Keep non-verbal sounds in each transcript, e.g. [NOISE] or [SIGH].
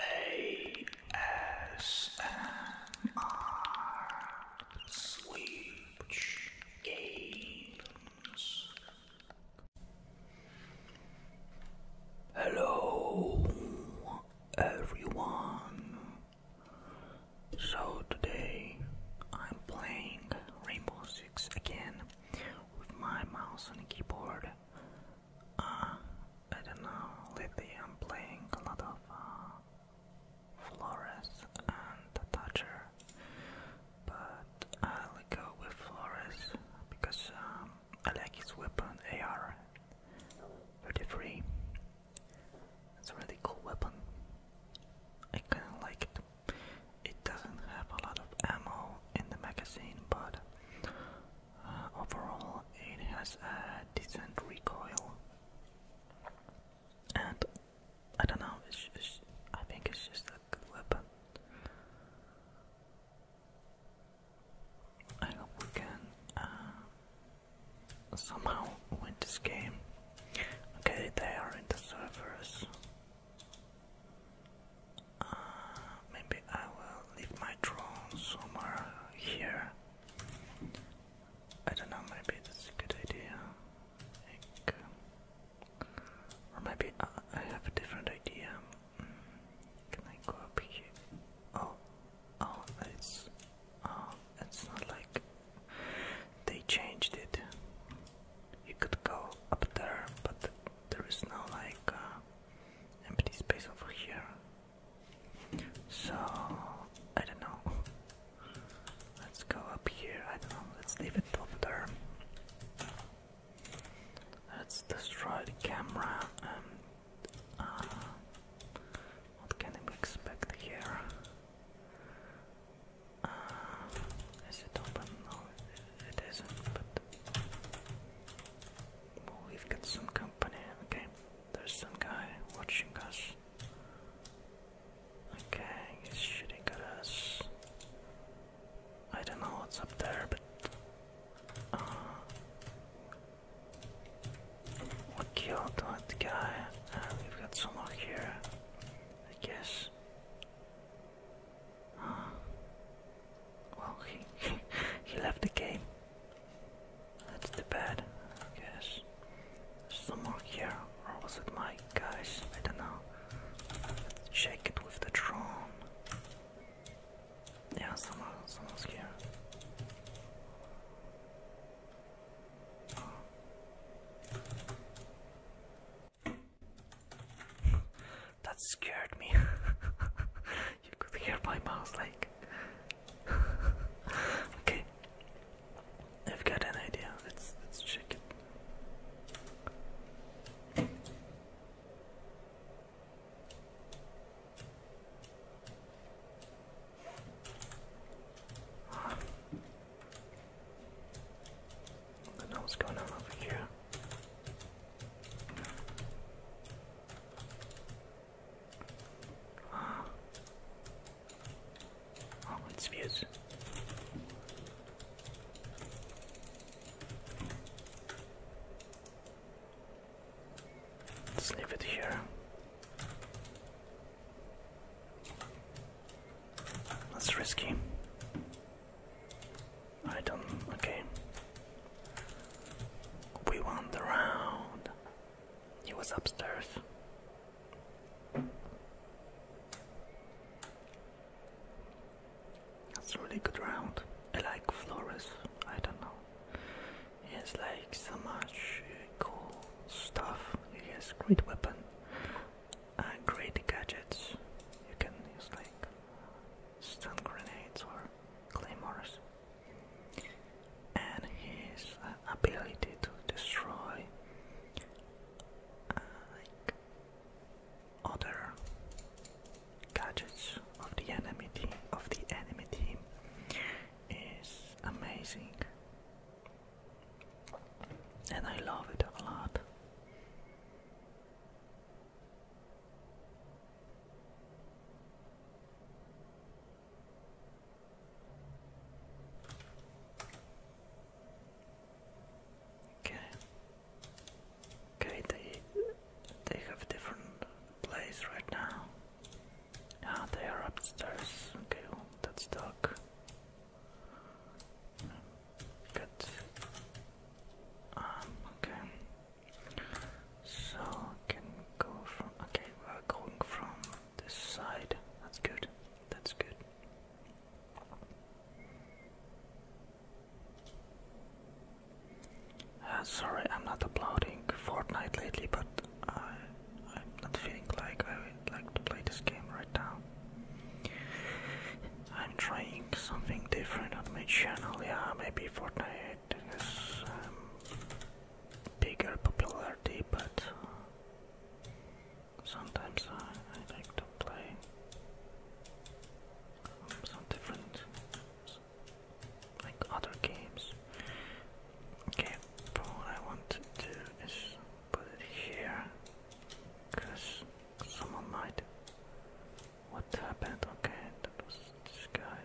ASMR Switch Games. Hello, everyone. So today I'm playing Rainbow Six again with my mouse and keyboard. Uh, I don't know, lately I'm playing a lot of uh, Flores and Thatcher, but I'll go with Flores because um, I like his weapon AR-33, it's a really cool weapon, I kinda like it. It doesn't have a lot of ammo in the magazine, but overall, it has a decent recoil, and I don't know. It's, it's, I think it's just a good weapon. I hope we can uh, somehow win this game. Okay, they are in the servers. Uh, maybe I will leave my drone somewhere here. I don't know, maybe that's a good idea. or maybe I, have a different idea. Mm, can I go up here? Oh, oh, it's, oh, it's not like they changed it. You could go up there, but there is no like uh, empty space over here. So I don't know. Let's go up here. I don't know. Let's leave it over there. Let's destroy the camera. And uh, what can we expect here? Uh, it open? No, it isn't we've got some company, okay. There's some guy watching us. Okay, he's shooting at us. I don't know what's up there, but. Uh, we killed that guy, uh, we've got some someone here, I guess. [GASPS] Well, he, he left the game. That's the bad, I guess. Someone here, or was it my guys? I don't know. Let's check it with the drone. Yeah, someone, someone's here. Oh. That scared me. [LAUGHS] you could hear my mouse like. [LAUGHS] okay. I've got an idea. Let's let's check it. what's going on over here. Oh, it's views. Let's leave it here. That's risky. Item, okay. We won the round. He was upstairs. That's a really good round. I like Flores. I don't know. He has like so much uh, cool stuff. He has great weapon and uh, great gadgets. You can use like stun grenades or claymores, and his uh, ability to destroy uh, other gadgets of the enemy of the enemy team is amazing. And I love it a lot. Okay. Okay, they they have a different place right now. Ah, they are upstairs. Okay, that's dark. Good. Um, okay. So can go from okay, we're going from this side. That's good. That's good. Uh, sorry, I'm not uploading Fortnite lately, but I, I'm not feeling like I would like to play this game right now. I'm trying something different on my channel. Yeah, maybe Fortnite has um, bigger popularity, but uh, sometimes I, I like to play um, some different, like other games. Okay, but what I want to do is put it here, because someone might what happened? Okay, that was this guy.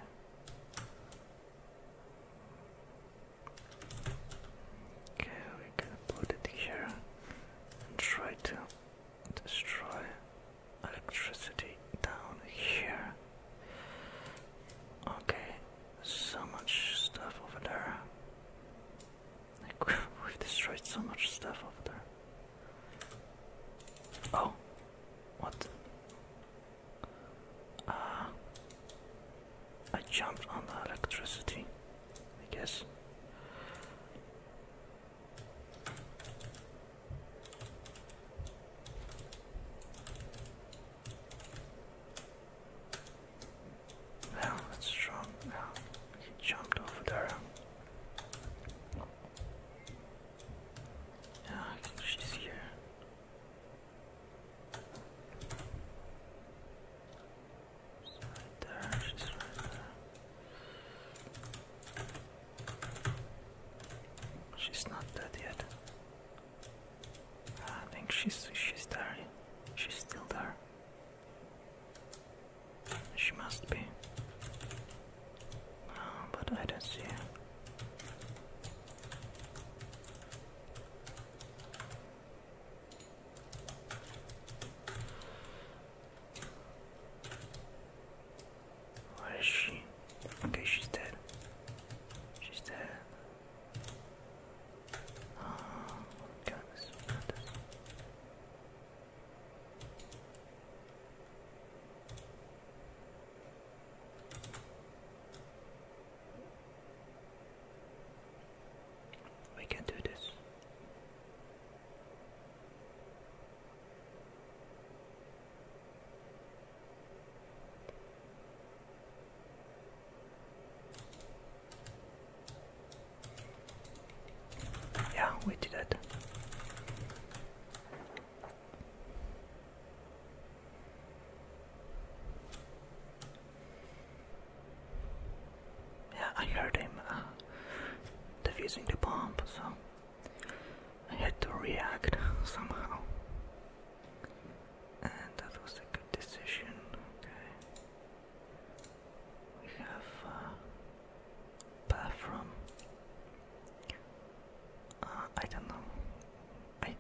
Okay, we're gonna put it here and try to destroy electricity down here. Okay, so much stuff over there. Like, [LAUGHS] we've destroyed so much stuff over there. Oh, what? Uh, I jumped on the electricity, I guess. Well, that's strong. he jumped over there. Yeah, she's here. right there, she's right there. She's not dead yet. I think she's she's there. She's still there. She must be. but I don't see her. Where is she? Okay, she's dead. She's dead. Oh, goodness, goodness. We can do this. Yeah, we did it. Yeah, I heard him uh, defusing the bomb, so I had to react [LAUGHS] somehow. And that was a good decision, okay. We have uh, bathroom. Uh, I don't know. I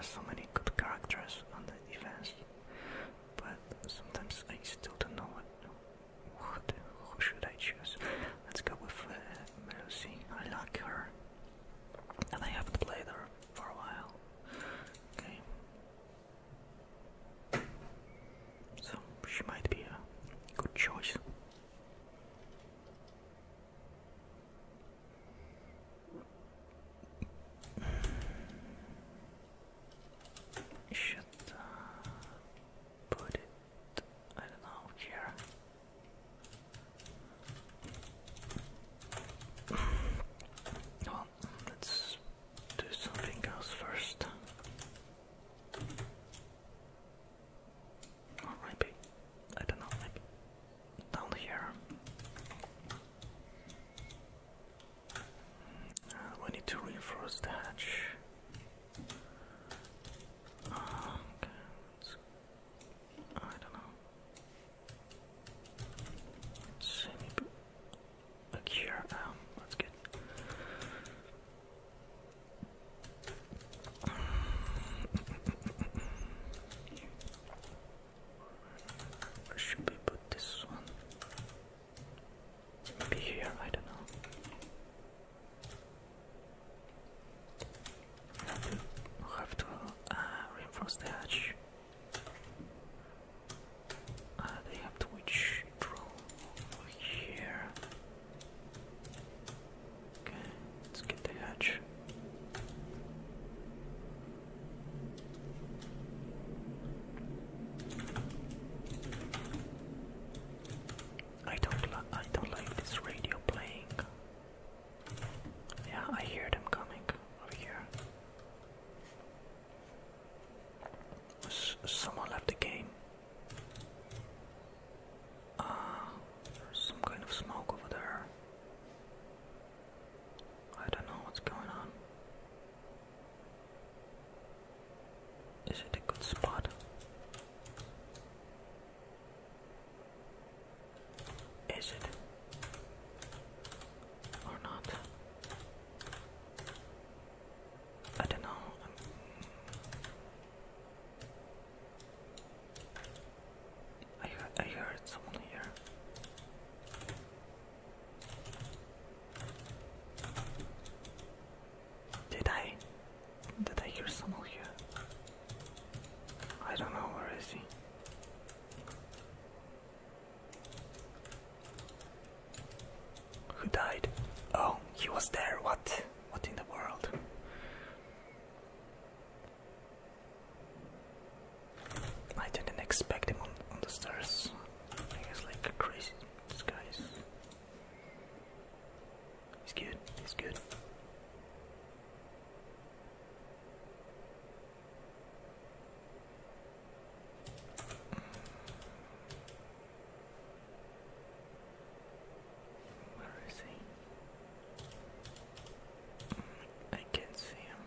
so many good characters on the events, but sometimes I still don't know what. Who should I choose? Let's go with uh, Melusi. I like her, and I haven't played her for a while. Okay. So she might be a good choice. Mm. Should uh, put it, I don't know, here let's do something else first. Oh, maybe, I don't know, maybe down here. Uh, we need to reinforce the hatch. Uh, okay, I don't know. Let's see, a um, that's good. should we put this one? here, I don't know. have to uh, reinforce the hatch. Uh, they have Twitch Pro over here. Okay, let's get the hatch. I don't li I don't like this radio playing. Yeah, I hear them coming over here. Someone left the game. Ah, some kind of smoke over there. I don't know what's going on. Is it a good spot? Is it or not? I don't know. I heard, I heard someone here. Did I? Did I hear someone here? I don't know where is he. Who died? Oh, he was there. What? What in the world? I didn't expect him on, on the stairs. He like crazy. This guy's. He's good. He's good. Where is he? I can't see him.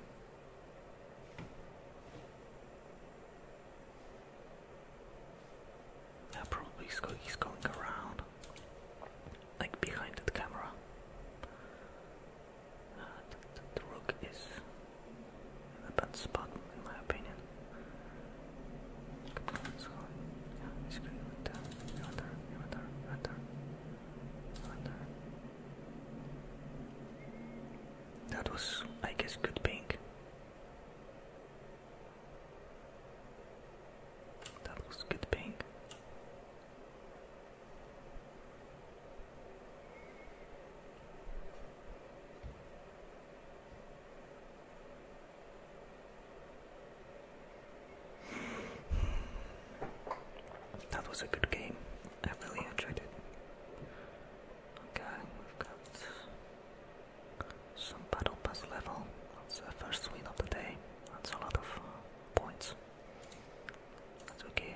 Yeah, probably he's, going around, like behind the camera the, rook is in a bad spot, in my opinion. yeah, he's good with that. You went there, you went That was, I guess, good pink. That was good pink. That was a good game. I really enjoyed it. Okay, we've got some battle pass level. That's the first win of the day. That's a lot of points. That's okay.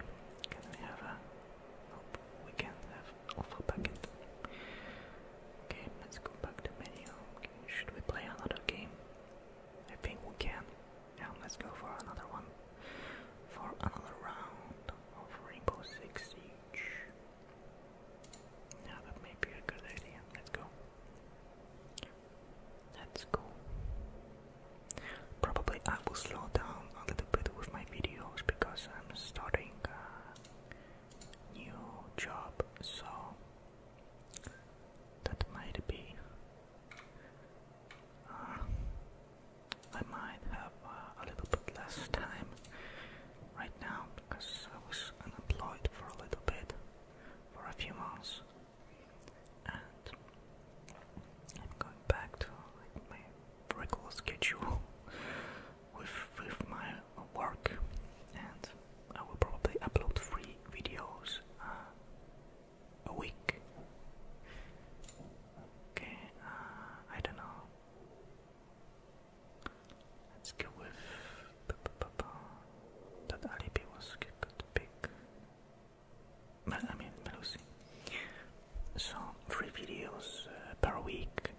Can we have a? Nope, we can packet. Okay, let's go back to menu. should we play another game? I think we can. Yeah, let's go for another one. For another round of Rainbow Six Yeah, that may be a good idea. Let's go. Let's Probably I will slow down a little bit with my videos because I'm starting a new job, so that might be. Uh, I might have uh, a little bit less time right now because I was unemployed for a little bit, for a few months, and I'm going back to like, my regular schedule [LAUGHS] with with my work, and I will probably upload three videos uh, a week. Okay, uh, I don't know. Let's go with that Alibi was good pick. I mean Melusi. So three videos uh, per week,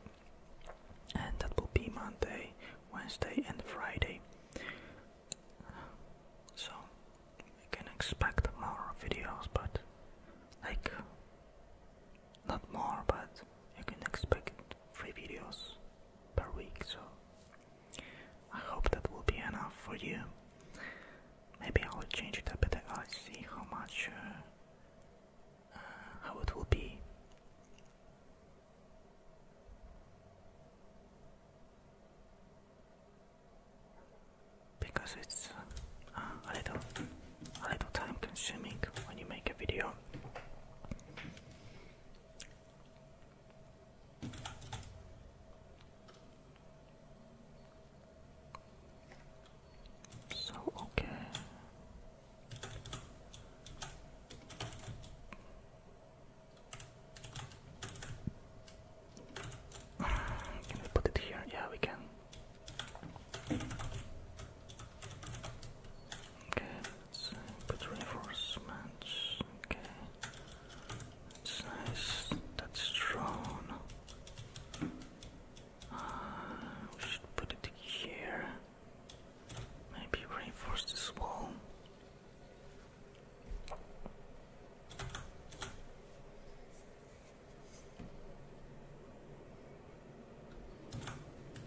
and that will be Monday, Wednesday, and Friday. So you can expect more videos, but like not more, but you can expect three videos per week. So I hope that will be enough for you. Maybe I will change it a bit. I'll see how much, uh, uh, how it will be. Because it's uh, a little, a little time consuming when you make a video. So okay. [SIGHS] Can we put it here? Yeah, we can. Okay, let's uh, put reinforcements. Okay. That's nice. That's strong. Uh, we should put it here. Maybe reinforce this wall.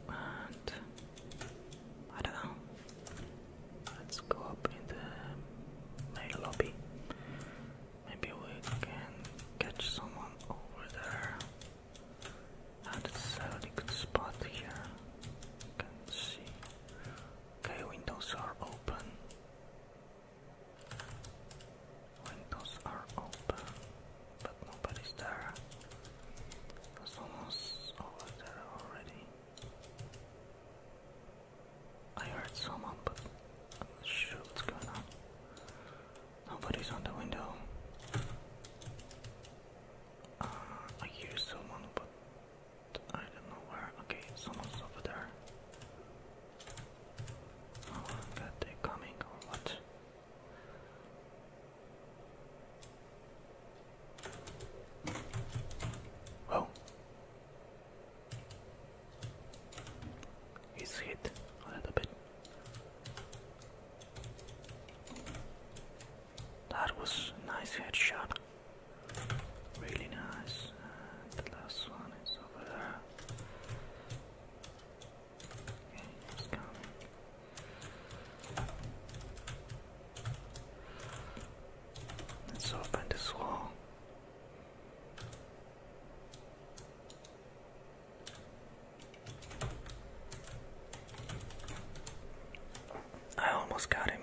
And I don't know. Let's go up in the mail lobby. Maybe we can catch someone over there. Not it's a really good spot here. Can see. Okay, windows are open. Windows are open, but nobody's there. Someone's over there already. I heard someone, but I'm not sure what's going on. Nobody's on the window. Uh, I hear someone, but I don't know where. Okay, someone's over there. Oh god, they coming or what? Whoa. He's hit a little bit. That was a nice headshot. Really nice. And the last one is over there. Okay, he's coming. Let's open this I almost got him,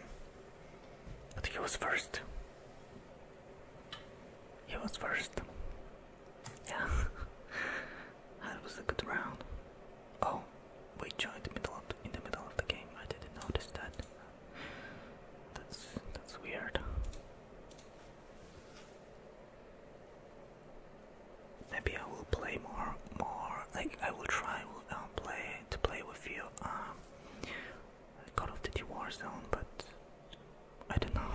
but he was first. He was first. Yeah, [LAUGHS] that was a good round. Oh, we joined in the middle of the game. I didn't notice that. That's that's weird. Maybe I will play more, more. Like I will try will um, play to play with you. Um, Call of Duty Warzone, but I don't know.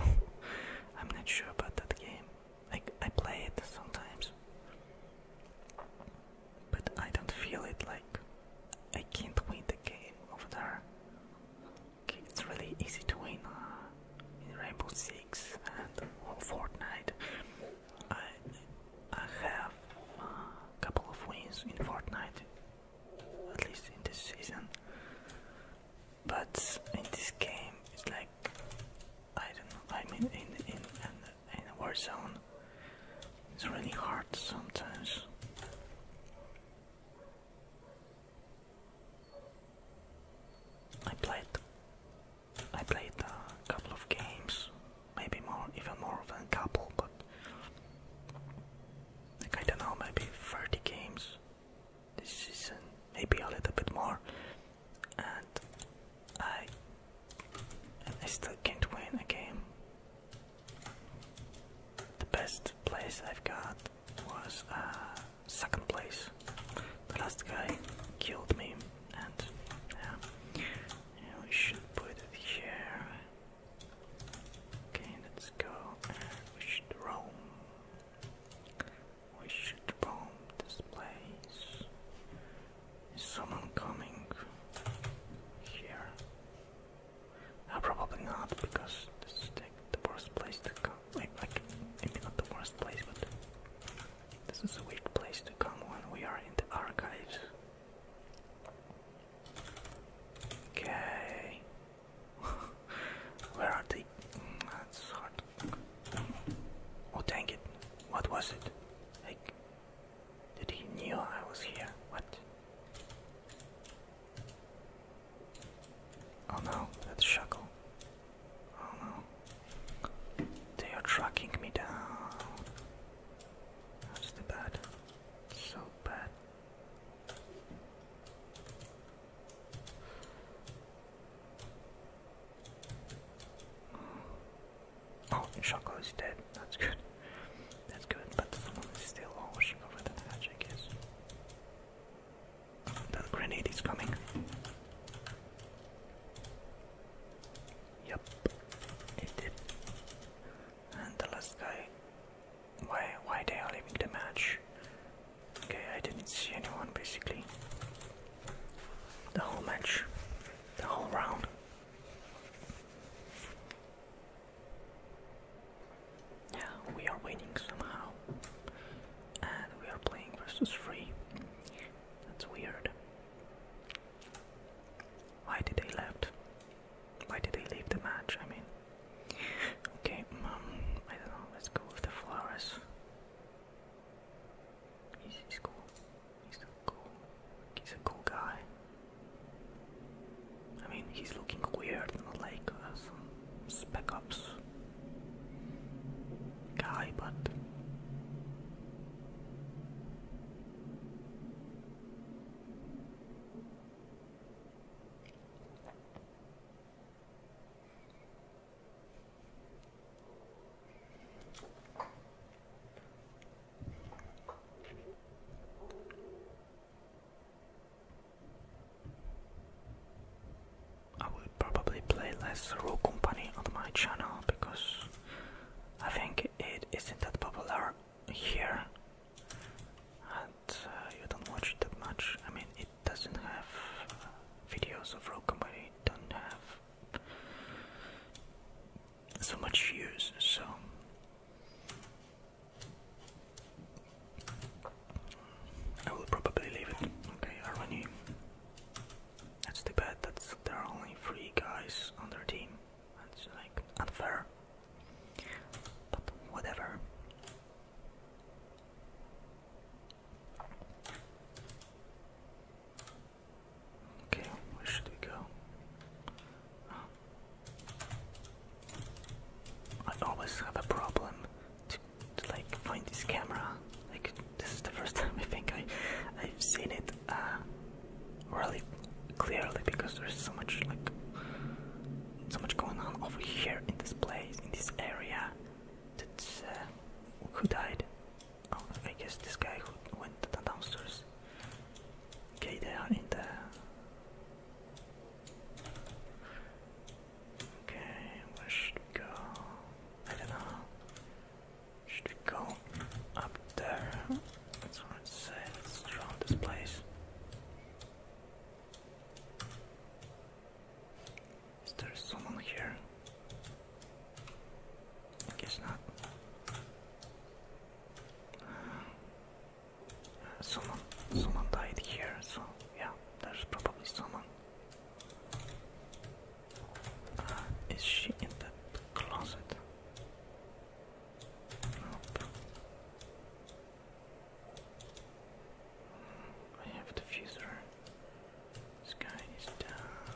[LAUGHS] I'm not sure about that game. Like I play it sometimes, but I don't feel it like I can't win the game over there. Okay, it's really easy to win uh, in Rainbow Six and Fortnite. I, I have a uh, couple of wins in Fortnite, at least in this season. But in this game, it's like I don't know. I mean, in in in, in Warzone, it's really hard sometimes. I played I played a couple of games, maybe more even more than a couple, but like I don't know, maybe 30 games this season, maybe a little bit more, and I, I still can't win a game. The best place I've got was uh, second place. The last guy killed me, and yeah we should put it here. Okay, let's go. We should roam. We should roam this place. Is someone coming here? Uh, probably not, because this is like the worst place to come. Like, maybe not the worst place, but this is a weird place to come when we are in the archives. Okay. [LAUGHS] Where are they? Mm, that's hard. Oh, dang it. What was it? Like, did he knew I was here? What? Oh no, that's shackle! Oh no. They are tracking me down. That's the bad. So bad. Oh, Shako is dead. That's good. That's good, but someone is still watching over the hatch, I guess. The grenade is coming. Yep, it did. And the last guy. Why? Why they are leaving the match? Okay, I didn't see anyone basically. The whole match, the whole round. Yeah, we are winning somehow. And we are playing versus free. That's weird. Why did they left? Why did they leave the match? I mean, okay, um, I don't know. Let's go with the flowers. He's, he's He's cool. He's a cool guy. I mean, he's looking weird, not like uh, some spec guy, but. I will probably play less Rule Company on my channel because I think it isn't that popular here and uh, you don't watch it that much. I mean, it doesn't have uh, videos of Rule Company, it don't have so much use, so I will probably leave it. Okay, Arvani. That's too bad that there are only three guys on their team. That's like unfair. But whatever. Okay, where should we go? Oh. I always have a problem to, to like find this camera. Like this is the first [LAUGHS] time I think I I've seen it uh, really clearly because there's so much like so much going on over here in this place in this area. That's uh, who died? Oh, I guess this guy who went downstairs. Okay, there in the. Okay, where should we go? I don't know. Should we go up there? That's what it says. Let's draw this place. Is there someone here? I guess not someone, someone died here, so yeah, there's probably someone. Uh, is she in that closet? Nope. Hmm, I have the diffuser. This guy is down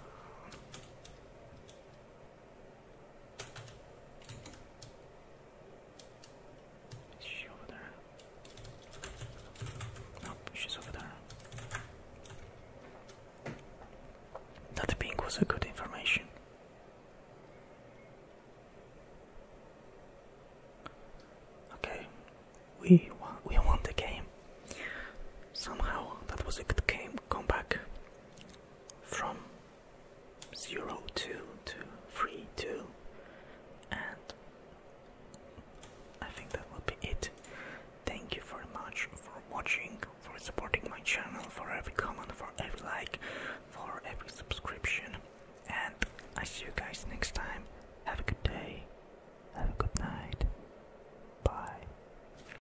she over there? Nope, she's over there. That ping was a good information. Okay, we won, we won the game. Somehow that was a good game Come back from 0 2 to 3 2 and I think that will be it. Thank you very much for watching, for supporting my channel, for every comment, for every like, for every subscription. And I see you guys next time. Have a good day. Have a good night. Bye.